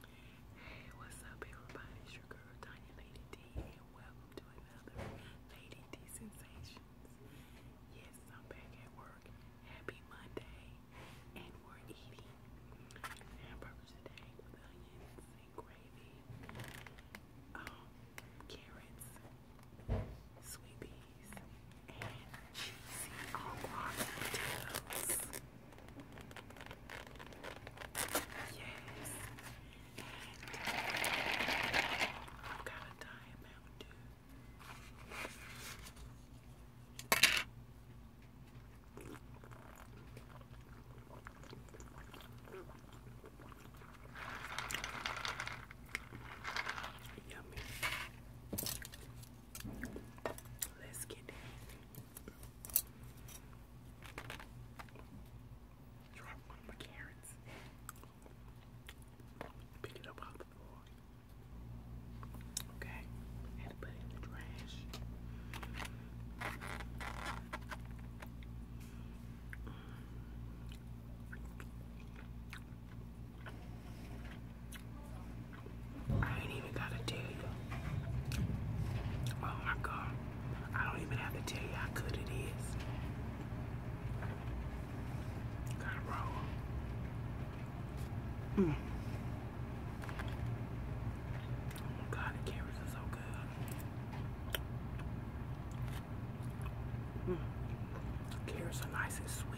Hey, what's up everybody? It's your girl Tanya Lady D and welcome to another Lady D Sensations. Yes, I'm back at work. Happy Monday. And we're eating hamburgers today with onions and gravy, um, carrots, sweet peas, and cheesy all-rotten Yes. I've got a diamond Yummy. Let's get it. Drop one of my carrots. Pick it up off the floor. Okay, had to put it in the trash. I ain't even gotta tell you. Oh my god. I don't even have to tell you how good it is. Gotta mm. Oh my god, the carrots are so good. Mm. Carrots are nice and sweet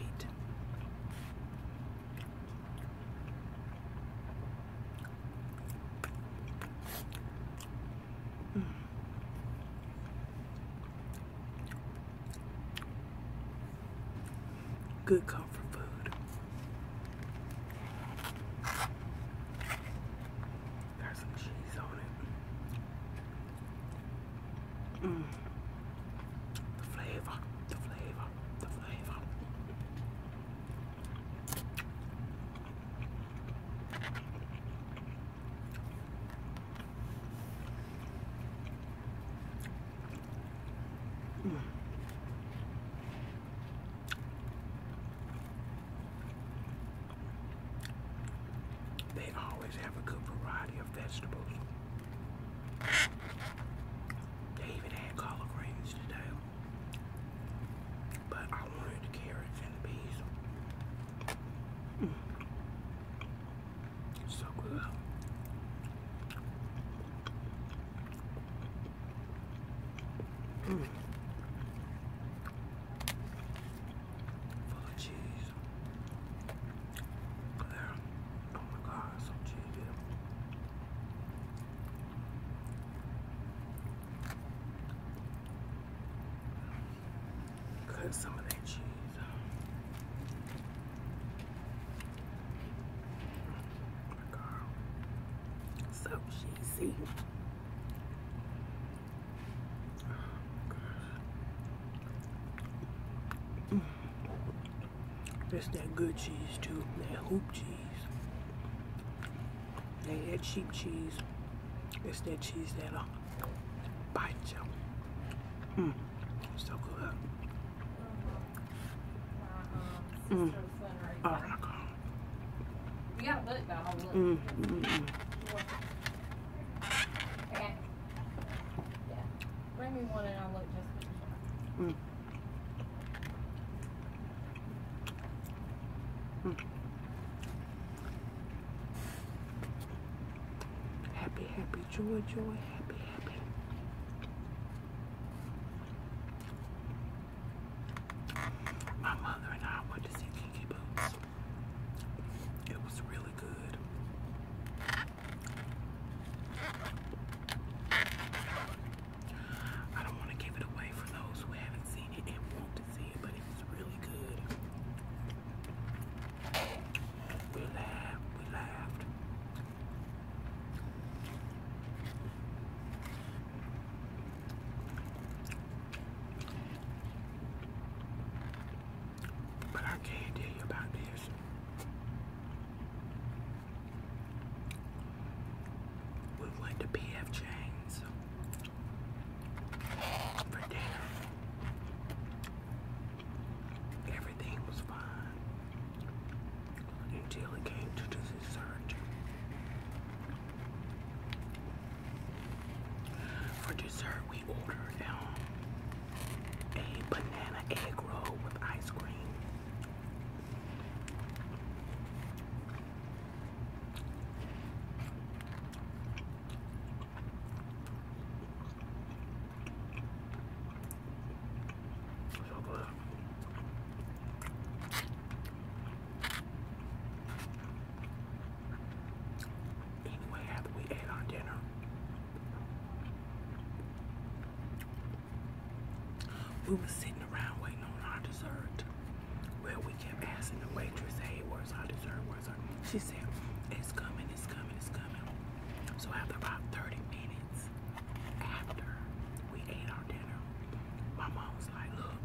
good comfort food. There's some cheese on it. Mm. The flavor, the flavor, the flavor. They always have a good variety of vegetables. They even had collard greens today. But I wanted the carrots and the So good. Mm. Full of cheese. Oh my god, so cheesy. Cut some of that cheese So cheesy. It's that good cheese too, that hoop cheese. They had cheap cheese. It's that cheese that'll uh, bite you. Mmm, so good. Mmm. Oh my god. You gotta look though. Mmm. Mm -mm. Okay. Yeah. Bring me one and I'll look just. Mmm. Happy, happy, joy, joy, happy, happy. My mother and I went to see Kinky Boots. It was really good. I don't want to give it away for those who haven't seen it and want to see it, but it was really good. We laughed, we laughed. But I can't tell you about this. We went to P.F. Chang's for dinner. Everything was fine until it came to dessert. For dessert, we ordered um, a banana egg roll with ice cream. So good. Anyway, after we ate our dinner, we were sitting around waiting on our dessert. Well, we kept asking the waitress, hey, where's our dessert? Where's our She said, it's coming, it's coming, it's coming. So after about 30 minutes after we ate our dinner, my mom was like, look,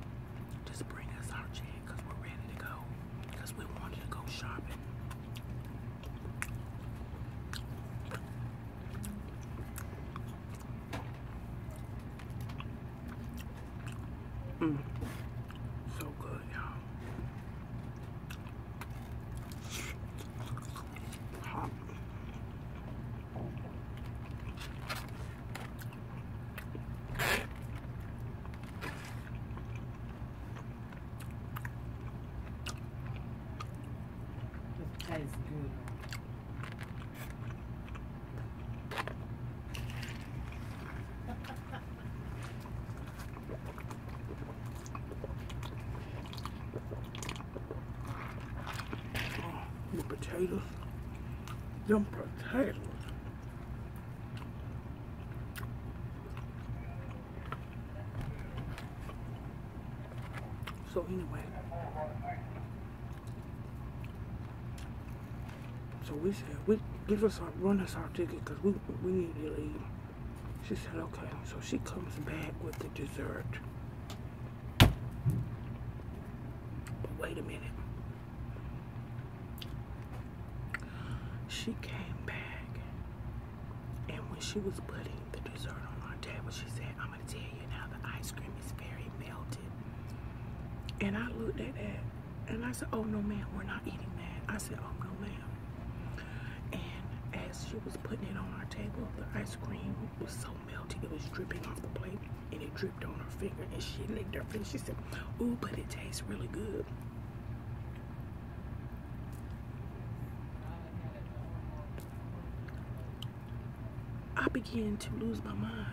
just bring us our check because we're ready to go. Because we wanted to go shopping. Mm. So good, y'all. Hot. tastes good potatoes. Them potatoes. So anyway. So we said, we give us our run us our ticket because we we need to leave. She said, okay. So she comes back with the dessert. But wait a minute. She came back and when she was putting the dessert on our table, she said, I'm going to tell you now the ice cream is very melted. And I looked at that and I said, oh no man, we we're not eating that. I said, oh no man," And as she was putting it on our table, the ice cream was so melted. It was dripping off the plate and it dripped on her finger and she licked her finger. She said, ooh, but it tastes really good. I began to lose my mind.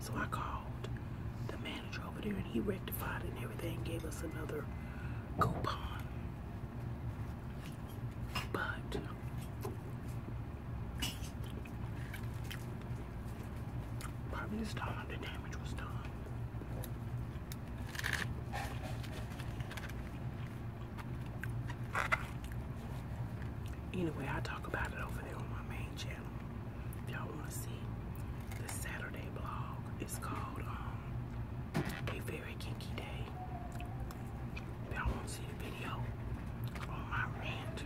So I called the manager over there and he rectified it and everything, gave us another coupon. But by this time the damage was done. Anyway, I talked y'all want to see the Saturday blog, it's called um, A Very Kinky Day. y'all want to see the video on my rant.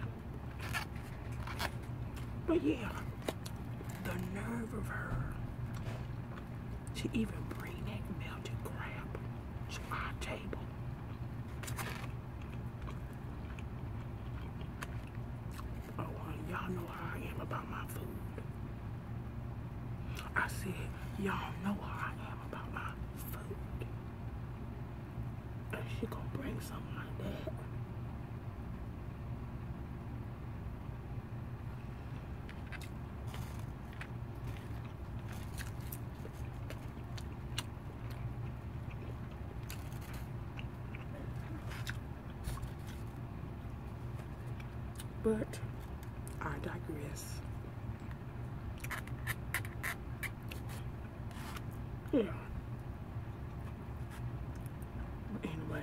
But yeah, the nerve of her to even bring that melted crab to our table. Oh, y'all know how I am about my food. I said, y'all know how I am about my food. And she gonna bring something like that. But I digress. Yeah. anyway,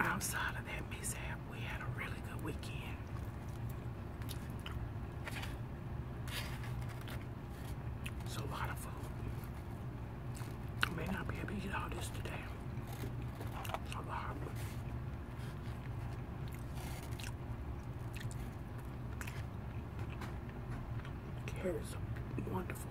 outside of that mishap, we had a really good weekend. It's a lot of food. I may not be able to eat all this today. It's a lot. wonderful.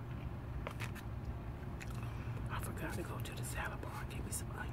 I forgot to go to the salad bar and get me some onions.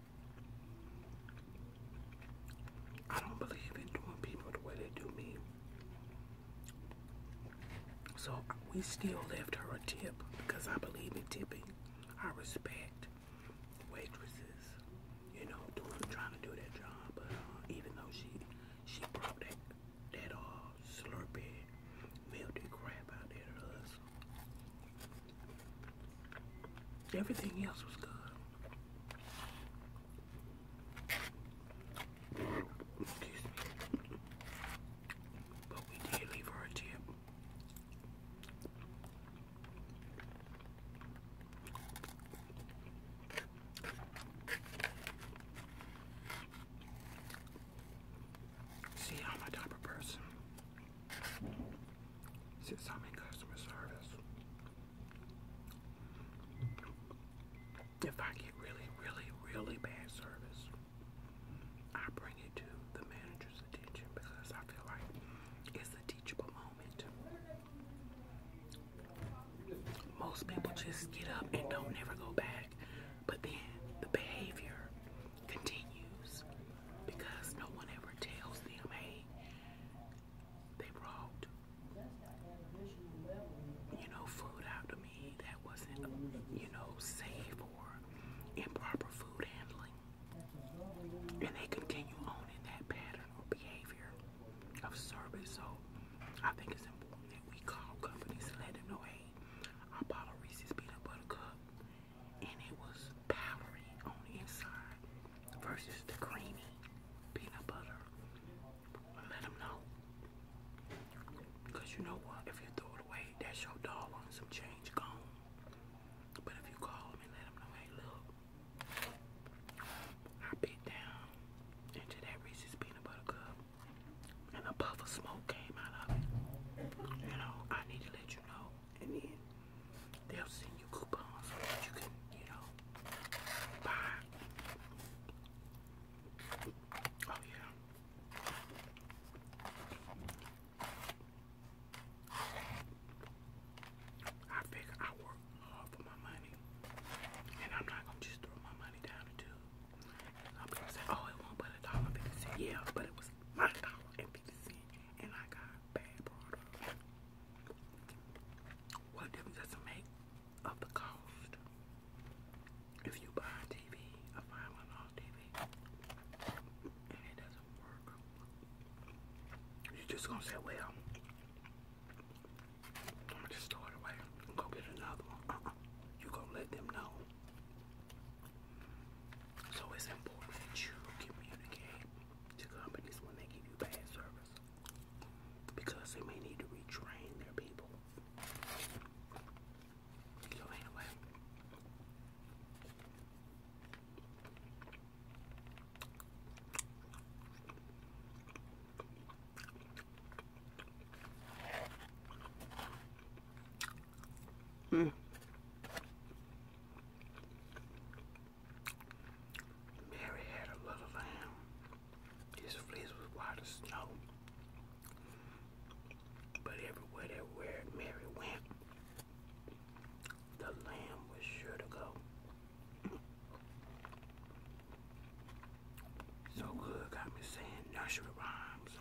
I don't believe in doing people the way they do me. So we still left her a tip because I believe in tipping. I respect waitresses, you know, doing trying to do that job. But uh, even though she she brought that that all uh, slurpy melted crap out there to us, everything else was good. Excuse me. But we did leave her tip. See, I'm a type of person. Since I'm in customer service, if I get really, really, really bad service, I bring it to the manager's attention because I feel like it's a teachable moment. Most people just get up and don't ever go back, but then the behavior continues because no one ever tells them, hey, they brought, you know, food out to me that wasn't, you know, safe or improper food handling. And they continue on in that pattern or behavior of service. So I think it's important that we call companies and let them know, hey, I bought a Reese's peanut butter cup and it was powdery on the inside versus the creamy peanut butter. Let them know. you know what? If you throw it away, that's your dog on some change gone. But if you call them and let them know, hey, look, I bit down into that Reese's peanut butter cup and a puff of smoke came out of it. You know, I need to let you know. And They'll send you coupons that you can, you know, buy. Oh yeah. I figure I work hard for my money. And I'm not gonna just throw my money down the tube. Some people say, oh, it won't but a dollar fifty Yeah, but it was my dollar fifty and I got bad product. What difference does it make of the cost if you buy a TV, a five hundred dollar TV, and it doesn't work? You're just gonna say, "Well, I'm gonna just throw it away and go get another one." Uh -uh. You gonna let them know. So it's important that you communicate to companies when they give you bad service because they may need to retrain their people. So anyway, mm. Mary had a little lamb. His fleece was white as snow. But everywhere that Mary went, the lamb was sure to go. So good got me saying nursery rhymes.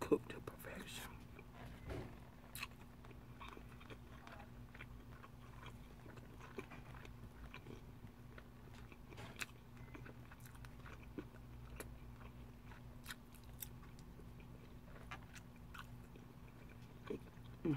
cooked to perfection. Mm.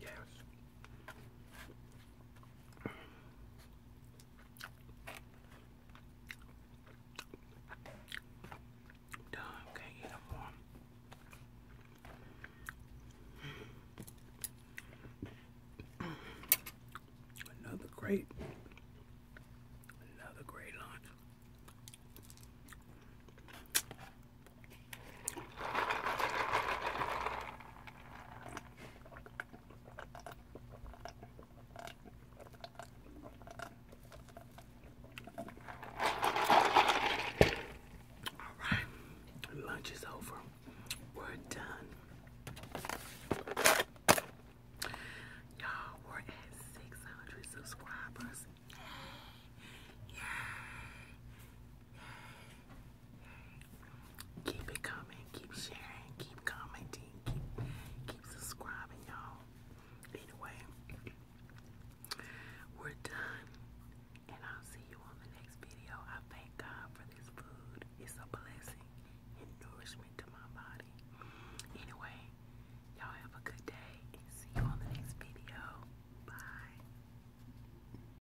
Yes. Done. Can't Another great, another great lunch. All right, lunch is over. We're done. Y'all, we're at 600 subscribers. Yay! Keep it coming, keep sharing, keep commenting, keep subscribing, y'all. Anyway, we're done, and I'll see you on the next video. I thank God for this food; it's a blessing and nourishment to my body. Anyway, y'all have a good day, see you on the next video. Bye.